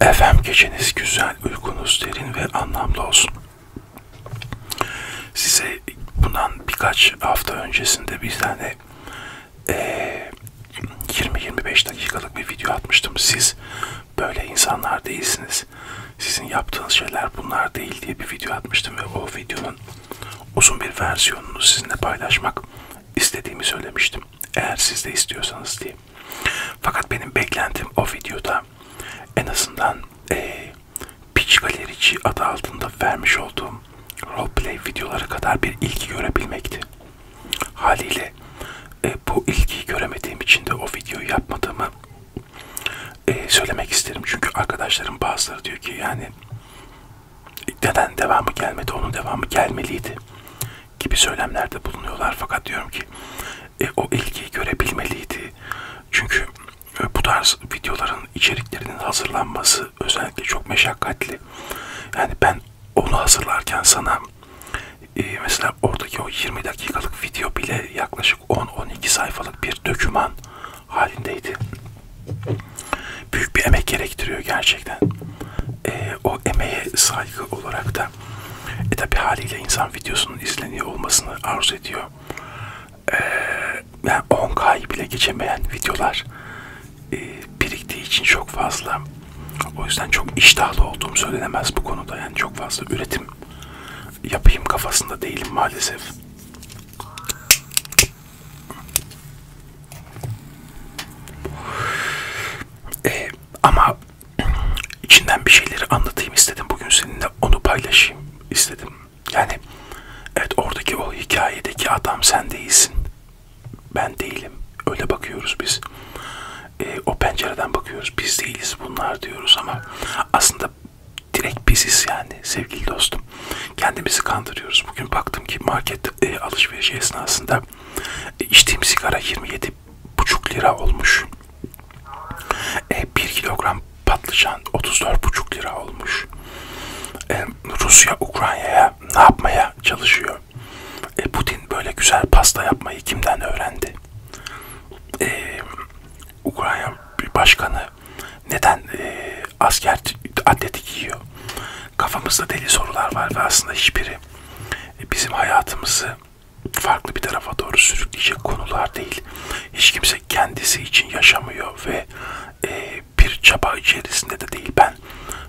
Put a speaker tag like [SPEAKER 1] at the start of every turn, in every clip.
[SPEAKER 1] Efem geceniz güzel, uykunuz derin ve anlamlı olsun. Size bundan birkaç hafta öncesinde bir tane e, 20-25 dakikalık bir video atmıştım. Siz böyle insanlar değilsiniz. Sizin yaptığınız şeyler bunlar değil diye bir video atmıştım ve o videonun uzun bir versiyonunu sizinle paylaşmak istediğimi söylemiştim. Eğer siz de istiyorsanız diye. Fakat benim beklentim o videoda en azından e, Pitch Galerici adı altında vermiş olduğum roleplay videoları kadar bir ilgi görebilmekti. Haliyle e, bu ilgiyi göremediğim için de o videoyu yapmadığımı e, söylemek isterim. Çünkü arkadaşlarım bazıları diyor ki yani neden devamı gelmedi, onun devamı gelmeliydi gibi söylemlerde bulunuyorlar fakat diyorum ki e, o ilgiyi görebilmeliydi çünkü e, bu tarz videoların içeriklerinin hazırlanması özellikle çok meşakkatli yani ben onu hazırlarken sana e, mesela oradaki o 20 dakikalık video bile yaklaşık 10-12 sayfalık bir döküman halindeydi büyük bir emek gerektiriyor gerçekten e, o emeğe saygı olarak da e tabi haliyle insan videosunun izleniyor olmasını arzu ediyor. E, yani 10K'yı bile geçemeyen videolar e, biriktiği için çok fazla. O yüzden çok iştahlı olduğum söylenemez bu konuda. Yani çok fazla üretim yapayım kafasında değilim maalesef. E, ama içinden bir şeyleri anlatayım istedim. Bugün seninle onu paylaşayım istedim. Yani evet oradaki o hikayedeki adam sen değilsin. Ben değilim. Öyle bakıyoruz biz. E, o pencereden bakıyoruz. Biz değiliz bunlar diyoruz ama aslında direkt biziz yani sevgili dostum. Kendimizi kandırıyoruz. Bugün baktım ki market e, alışveriş esnasında İçtiğim sigara 27,5 lira olmuş. E, 1 kilogram patlıcan 34,5 lira olmuş. E, Rusya Ukrayna'ya ne yapmaya çalışıyor? E, Putin böyle güzel pasta yapmayı kimden öğrendi? E, Ukrayna başkanı neden e, asker atleti giyiyor? kafamızda deli sorular var ve aslında hiçbiri e, bizim hayatımızı farklı bir tarafa doğru sürükleyecek konular değil. Hiç kimse kendisi için yaşamıyor ve e, bir çaba içerisinde de değil. Ben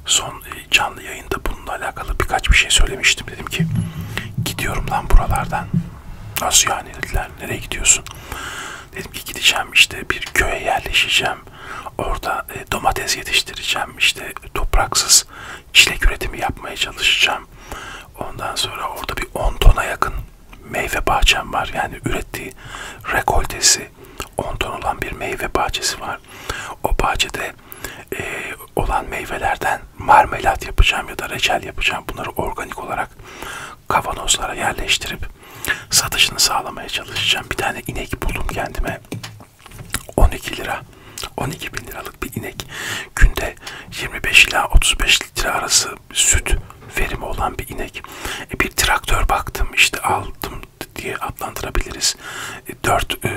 [SPEAKER 1] son e, canlı yayında bununla alakalı birkaç bir şey söylemiştim. Dedim ki gidiyorum lan buralardan. Nasıl yani dediler nereye gidiyorsun? Dedim ki gideceğim işte bir köye yerleşeceğim. Orada e, domates yetiştireceğim işte topraksız işlek üretimi yapmaya çalışacağım. Ondan sonra orada bir 10 tona yakın meyve bahçem var. Yani ürettiği rekoltesi 10 ton olan bir meyve bahçesi var. O bahçede e, olan meyvelerden marmelat yapacağım ya da reçel yapacağım. Bunları organik olarak kavanozlara yerleştirip satışını sağlamaya çalışacağım. Bir tane inek buldum kendime. 12 lira 12 bin liralık bir inek günde 25 ila 35 litre arası süt verimi olan bir inek. E bir traktör baktım işte aldım diye adlandırabiliriz. 4 e, e,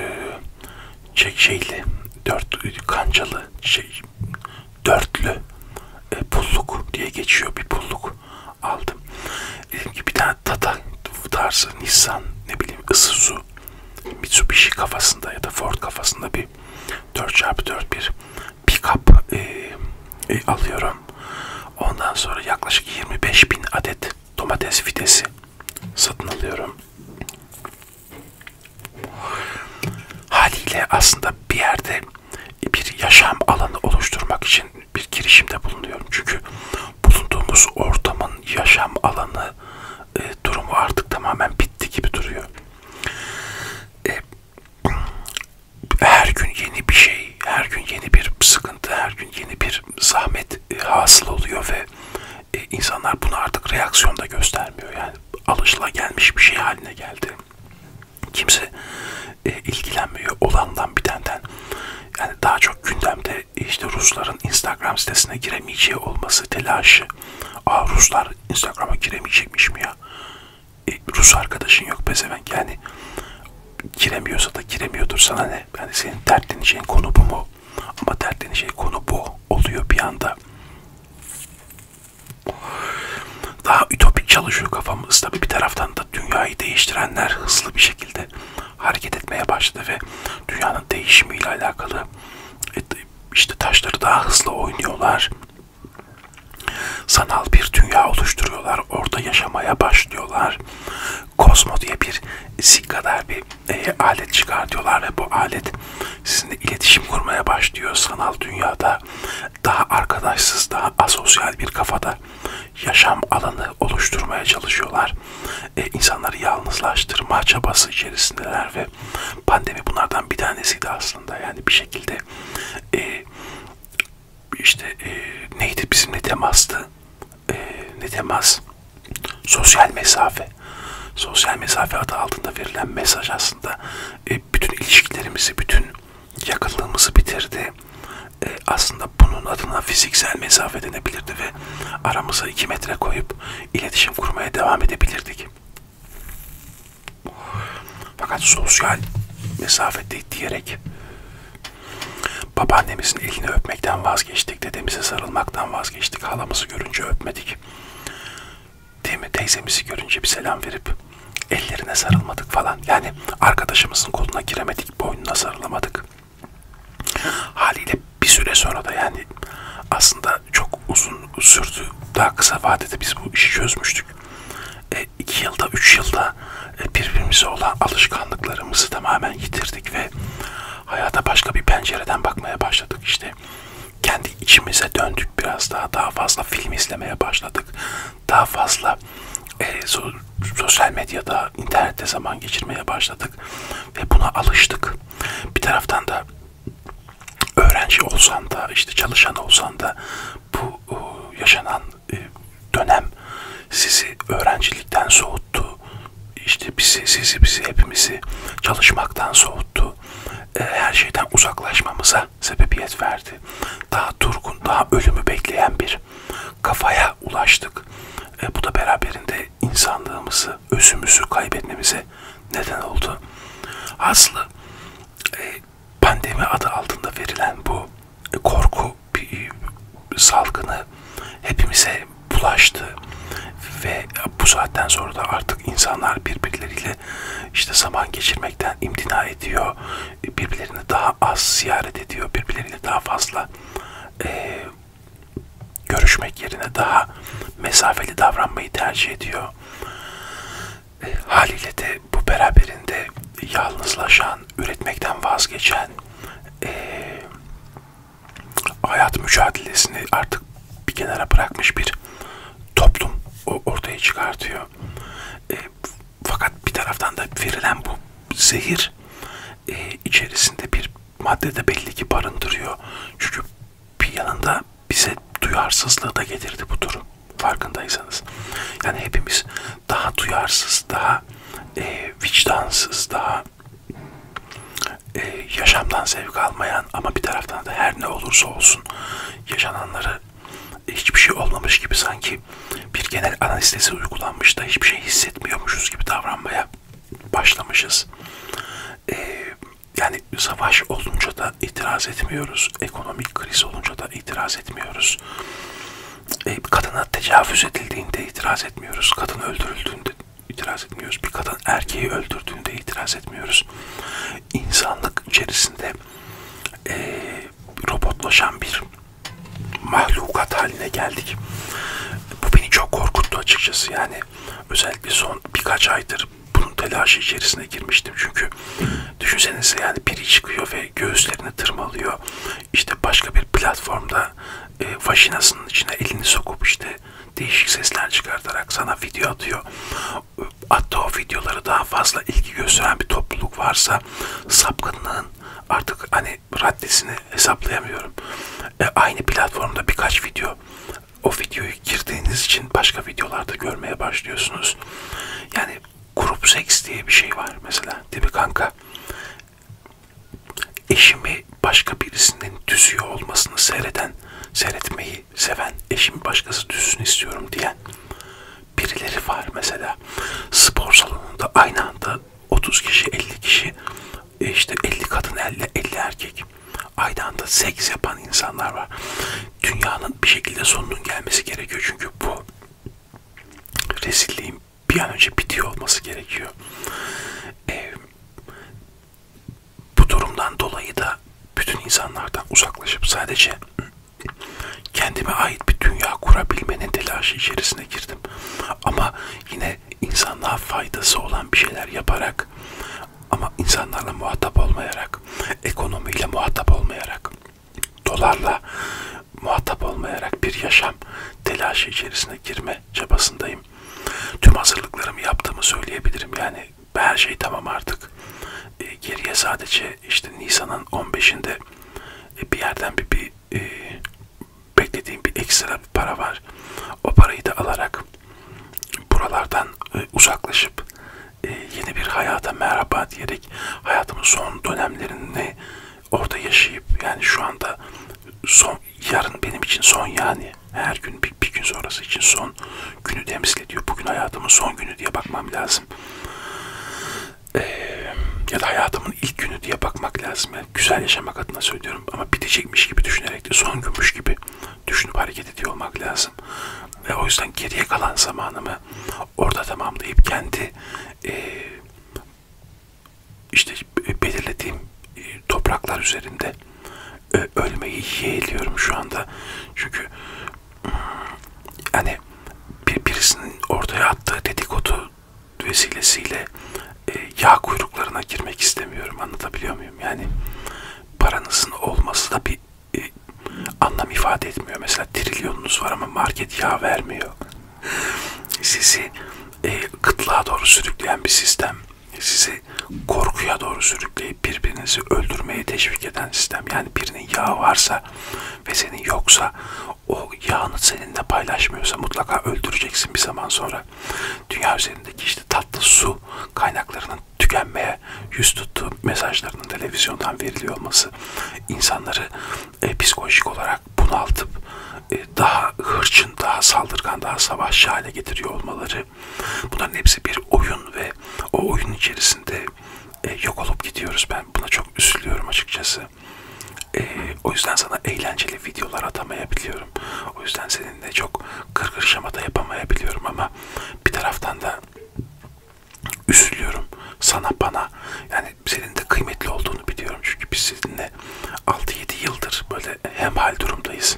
[SPEAKER 1] şey, şeyli 4 e, kancalı şey dörtlü e, pulluk diye geçiyor bir pulluk aldım. Dedim ki bir tane Tata tarzı Nissan ne bileyim Isuzu bunu Mitsubishi kafasında ya da Ford kafasında bir 4x4 bir pickup e, e, alıyorum. Ondan sonra yaklaşık 25 bin adet domates fidesi satın alıyorum. Haliyle aslında bir yerde bir yaşam alanı oluşturmak için bir girişimde bulunuyorum. Çünkü bulunduğumuz ortamın yaşam alanı e, durumu artık tamamen bitti gibi duruyor. E, her gün yeni bir şey, her gün yeni bir sıkıntı, her gün yeni bir zahmet e, hasıl oluyor ve e, insanlar bunu artık reaksiyonda göstermiyor. Yani alışılagelmiş bir şey haline geldi. Kimse e, ilgilenmiyor olandan bitenden. Yani daha çok gündemde ve işte Rusların Instagram sitesine giremeyeceği olması telaşı. Aa Ruslar Instagram'a giremeyecekmiş mi ya? E, Rus arkadaşın yok pezevenk yani giremiyorsa da giremiyordur sana ne? Yani senin dertleneceğin şey, konu bu mu? Ama dertleneceğin şey, konu bu oluyor bir anda. Daha ütopik çalışıyor kafamız tabi bir taraftan da dünyayı değiştirenler hızlı bir şekilde hareket etmeye başladı ve dünyanın değişimiyle alakalı işte taşları daha hızlı oynuyorlar. Sanal bir dünya oluşturuyorlar. Orada yaşamaya başlıyorlar. Cosmo diye bir zik kadar bir e, alet çıkartıyorlar ve bu alet sizinle iletişim kurmaya başlıyor sanal dünyada. Daha arkadaşsız, daha asosyal bir kafada yaşam alanı oluşturmaya çalışıyorlar e, insanları yalnızlaştırma çabası içerisindeler ve pandemi bunlardan bir tanesiydi aslında. Yani bir şekilde e, işte e, neydi bizimle temastı? E, ne temas? Sosyal mesafe. Sosyal mesafe adı altında verilen mesaj aslında e, bütün ilişkilerimizi, bütün yakınlığımızı bitirdi. E, aslında bunun adına fiziksel mesafe denebilirdi ve aramıza iki metre koyup iletişim kurmaya devam edebilirdik. Fakat sosyal mesafede diyerek babaannemizin elini öpmekten vazgeçtik, dedemize sarılmaktan vazgeçtik, halamızı görünce öpmedik. Değil mi? Teyzemizi görünce bir selam verip ellerine sarılmadık falan. Yani arkadaşımızın koluna giremedik, boynuna sarılamadık. Haliyle bir süre sonra da yani aslında çok uzun sürdü. Daha kısa vadede biz bu işi çözmüştük. 2 e, yılda, 3 yılda e, birbirimize olan alışkanlıklarımızı tamamen yitirdik ve hayata başka bir pencereden bakmaya başladık işte. Kendi içimize döndük biraz daha, daha fazla film izlemeye başladık. Daha fazla e, so sosyal medyada, internette zaman geçirmeye başladık ve buna alıştık. Bir taraftan da öğrenci olsan da işte çalışan olsan da bu e, yaşanan e, dönem sizi öğrencilikten soğuttu. İşte bizi, sizi, bizi hepimizi çalışmaktan soğuttu. E, her şeyden uzaklaşmamıza sebebiyet verdi. Daha durgun, daha ölümü bekleyen bir kafaya ulaştık. Bu da beraberinde insanlığımızı, yaptı. Özümüzü kaybetmemize neden oldu. Aslı e, pandemi adı altında verilen bu e, korku bir, bir e, salgını hepimize bulaştı ve bu saatten sonra da artık insanlar birbirleriyle işte zaman geçirmekten imtina ediyor. E, birbirlerini daha az ziyaret ediyor. Birbirleriyle daha fazla e, görüşmek yerine daha mesafeli davranmayı tercih ediyor. E, haliyle de bu beraberinde yalnızlaşan, üretmekten vazgeçen, e, hayat mücadelesini artık bir kenara bırakmış bir toplum ortaya çıkartıyor. E, fakat bir taraftan da verilen bu zehir e, içerisinde bir maddede belli ki barındırıyor. Çünkü bir yanında bize duyarsızlığı da getirdi bu durum. Farkındaysanız. Yani hepimiz daha duyarsız, daha e, vicdansız, daha e, yaşamdan zevk almayan ama bir taraftan da her ne olursa olsun yaşananları e, hiçbir şey olmamış gibi sanki bir genel anestezi uygulanmış da hiçbir şey hissetmiyormuşuz gibi davranmaya başlamışız. Ee, yani savaş olunca da itiraz etmiyoruz. Ekonomik kriz olunca da itiraz etmiyoruz. Ee, kadına tecavüz edildiğinde itiraz etmiyoruz. Kadın öldürüldüğünde itiraz etmiyoruz. Bir kadın erkeği öldürdüğünde itiraz etmiyoruz. İnsanlık içerisinde e, robotlaşan bir mahlukat haline geldik. Bu beni çok korkuttu açıkçası. Yani özellikle son birkaç aydır bunun telaşı içerisine girmiştim. Çünkü düşünsenize yani biri çıkıyor ve göğüslerini tırmalıyor. İşte başka bir platformda e, vajinasının içine elini sokup işte değişik sesler çıkartarak sana video atıyor. Hatta o videoları daha fazla ilgi gösteren bir topluluk varsa sapkınlığın artık hani raddesini hesaplayamıyorum. E, aynı platformda birkaç video o videoyu girdiğiniz için başka videolarda görmeye başlıyorsunuz. Yani grup seks diye bir şey var mesela değil mi kanka? Eşimi başka birisinin düzüyor olmasını seyreden, seyretmeyi seven, eşimi başkası düzsün istiyorum diyen birileri var mesela. Spor salonunda aynı anda 30 kişi 50 kişi e işte 50 kadın 50, 50 erkek aynı anda seks yapan insanlar var. Dünyanın bir şekilde sonunun gelmesi gerekiyor çünkü bu rezilliğin bir an önce bitiyor olması gerekiyor. Ee, bu durumdan dolayı da bütün insanlardan uzaklaşıp sadece kendime ait bir dünya kurabilmenin telaşı içerisine girdim. Ama yine yine insanlığa faydası olan bir şeyler yaparak ama insanlarla muhatap olmayarak, ekonomiyle muhatap olmayarak, dolarla muhatap olmayarak bir yaşam telaşı içerisine girme çabasındayım. Tüm hazırlıklarımı yaptığımı söyleyebilirim. Yani her şey tamam artık. E, geriye sadece işte Nisan'ın 15'inde e, bir yerden bir, bir e, beklediğim bir ekstra bir para var. O parayı da alarak buralardan e, uzaklaşıp e, yeni bir hayata merhaba diyerek hayatımın son dönemlerini orada yaşayıp yani şu anda son yarın benim için son yani her gün bir, bir gün sonrası için son günü temsil ediyor. Bugün hayatımın son günü diye bakmam lazım. E, ya da hayatımın ilk günü diye bakmak lazım güzel yaşamak adına söylüyorum ama bitecekmiş gibi düşünerek de son günmüş gibi düşünüp hareket ediyor olmak lazım. Ve o yüzden geriye kalan zamanımı orada tamamlayıp kendi e, işte belirlediğim e, topraklar üzerinde e, ölmeyi yeğliyorum şu anda. Çünkü hmm, hani bir, birisinin ortaya attığı dedikodu vesilesiyle e, yağ kuyruklarına girmek istemiyorum. Anlatabiliyor muyum? Yani paranızın olması da bir e, anlam ifade etmiyor. Mesela trilyonunuz var ama market yağ vermiyor. Sizi e, kıtlığa doğru sürükleyen bir sistem. Sizi korkuya doğru sürükleyip birbirinizi öldürmeye teşvik eden sistem. Yani birinin yağı varsa ve senin yoksa o yağını seninle paylaşmıyorsa mutlaka öldüreceksin bir zaman sonra sonra dünya üzerindeki işte tatlı su kaynaklarının tükenmeye yüz tuttuğu mesajlarının televizyondan veriliyor olması insanları e, psikolojik olarak bunaltıp e, daha hırçın, daha saldırgan, daha savaşçı hale getiriyor olmaları bunların hepsi bir oyun ve o oyun içerisinde e, yok olup gidiyoruz. Ben buna çok üzülüyorum açıkçası. E, o yüzden sana eğlenceli videolar atamayabiliyorum. O yüzden senin nedeninde çok kırgır şamata yapamayabiliyorum ama bir taraftan da üzülüyorum sana bana yani senin de kıymetli olduğunu biliyorum çünkü biz sizinle 6-7 yıldır böyle hemhal durumdayız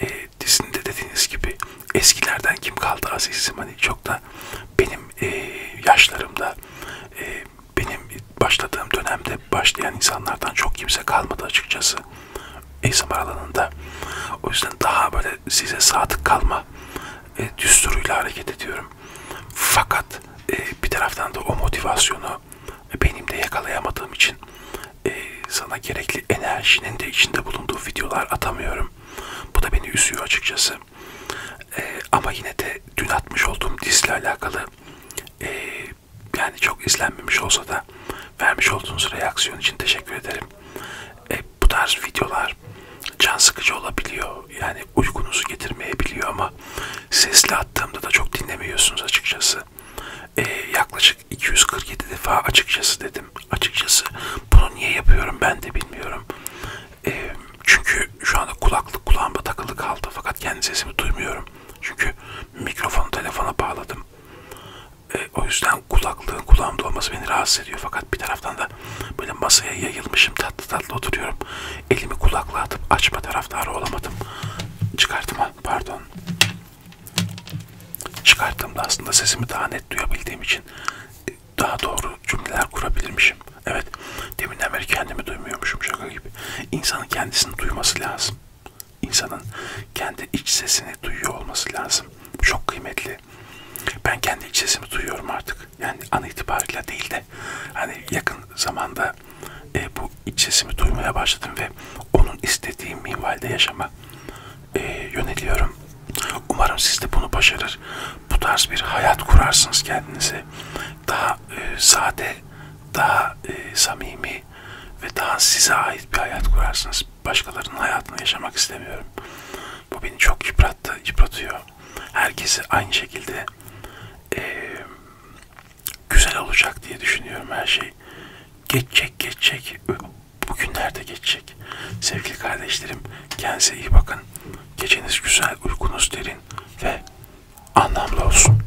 [SPEAKER 1] e, dizinde dediğiniz gibi eskilerden kim kaldı azizim hani çok da benim e, yaşlarımda e, benim başladığım dönemde başlayan insanlardan çok kimse kalmadı açıkçası ASMR alanında. O yüzden daha böyle size sadık kalma e, düsturuyla hareket ediyorum. Fakat e, bir taraftan da o motivasyonu e, benim de yakalayamadığım için e, sana gerekli enerjinin de içinde bulunduğu videolar atamıyorum. Bu da beni üzüyor açıkçası. E, ama yine de dün atmış olduğum dizle alakalı e, yani çok izlenmemiş olsa da vermiş olduğunuz reaksiyon için teşekkür ederim. E, bu tarz videolar can sıkıcı olabiliyor. Yani uykunuzu getirmeyebiliyor ama sesli attığımda da çok dinlemiyorsunuz açıkçası. E, yaklaşık 247 defa açıkçası dedim. Açıkçası bunu niye yapıyorum ben de bilmiyorum. E, çünkü şu anda kulaklık kulağıma takılı kaldı fakat kendi sesimi duymuyorum. Çünkü mikrofonu telefona bağladım. E, o yüzden kulaklığın kulağımda olması beni rahatsız ediyor. Fakat bir taraftan da böyle masaya yayılmışım tatlı tatlı oturuyorum. Elimi kulaklığa atıp açma taraftarı olamadım. Çıkartma pardon. Çıkarttığımda aslında sesimi daha net duyabildiğim için e, daha doğru cümleler kurabilirmişim. Evet deminden beri kendimi duymuyormuşum şaka gibi. İnsanın kendisini duyması lazım insanın kendi iç sesini duyuyor olması lazım. Çok kıymetli. Ben kendi iç sesimi duyuyorum artık. Yani an itibariyle değil de hani yakın zamanda e, bu iç sesimi duymaya başladım ve onun istediğim minvalde yaşama e, yöneliyorum. Umarım siz de bunu başarır. Bu tarz bir hayat kurarsınız kendinize. Daha e, sade, daha e, samimi, şey ve daha size ait bir hayat kurarsınız. Başkalarının hayatını yaşamak istemiyorum. Bu beni çok yıprattı, yıpratıyor. Herkesi aynı şekilde e, güzel olacak diye düşünüyorum her şey. Geçecek, geçecek. Bugünlerde geçecek. Sevgili kardeşlerim, kendinize iyi bakın. Geceniz güzel, uykunuz derin ve anlamlı olsun.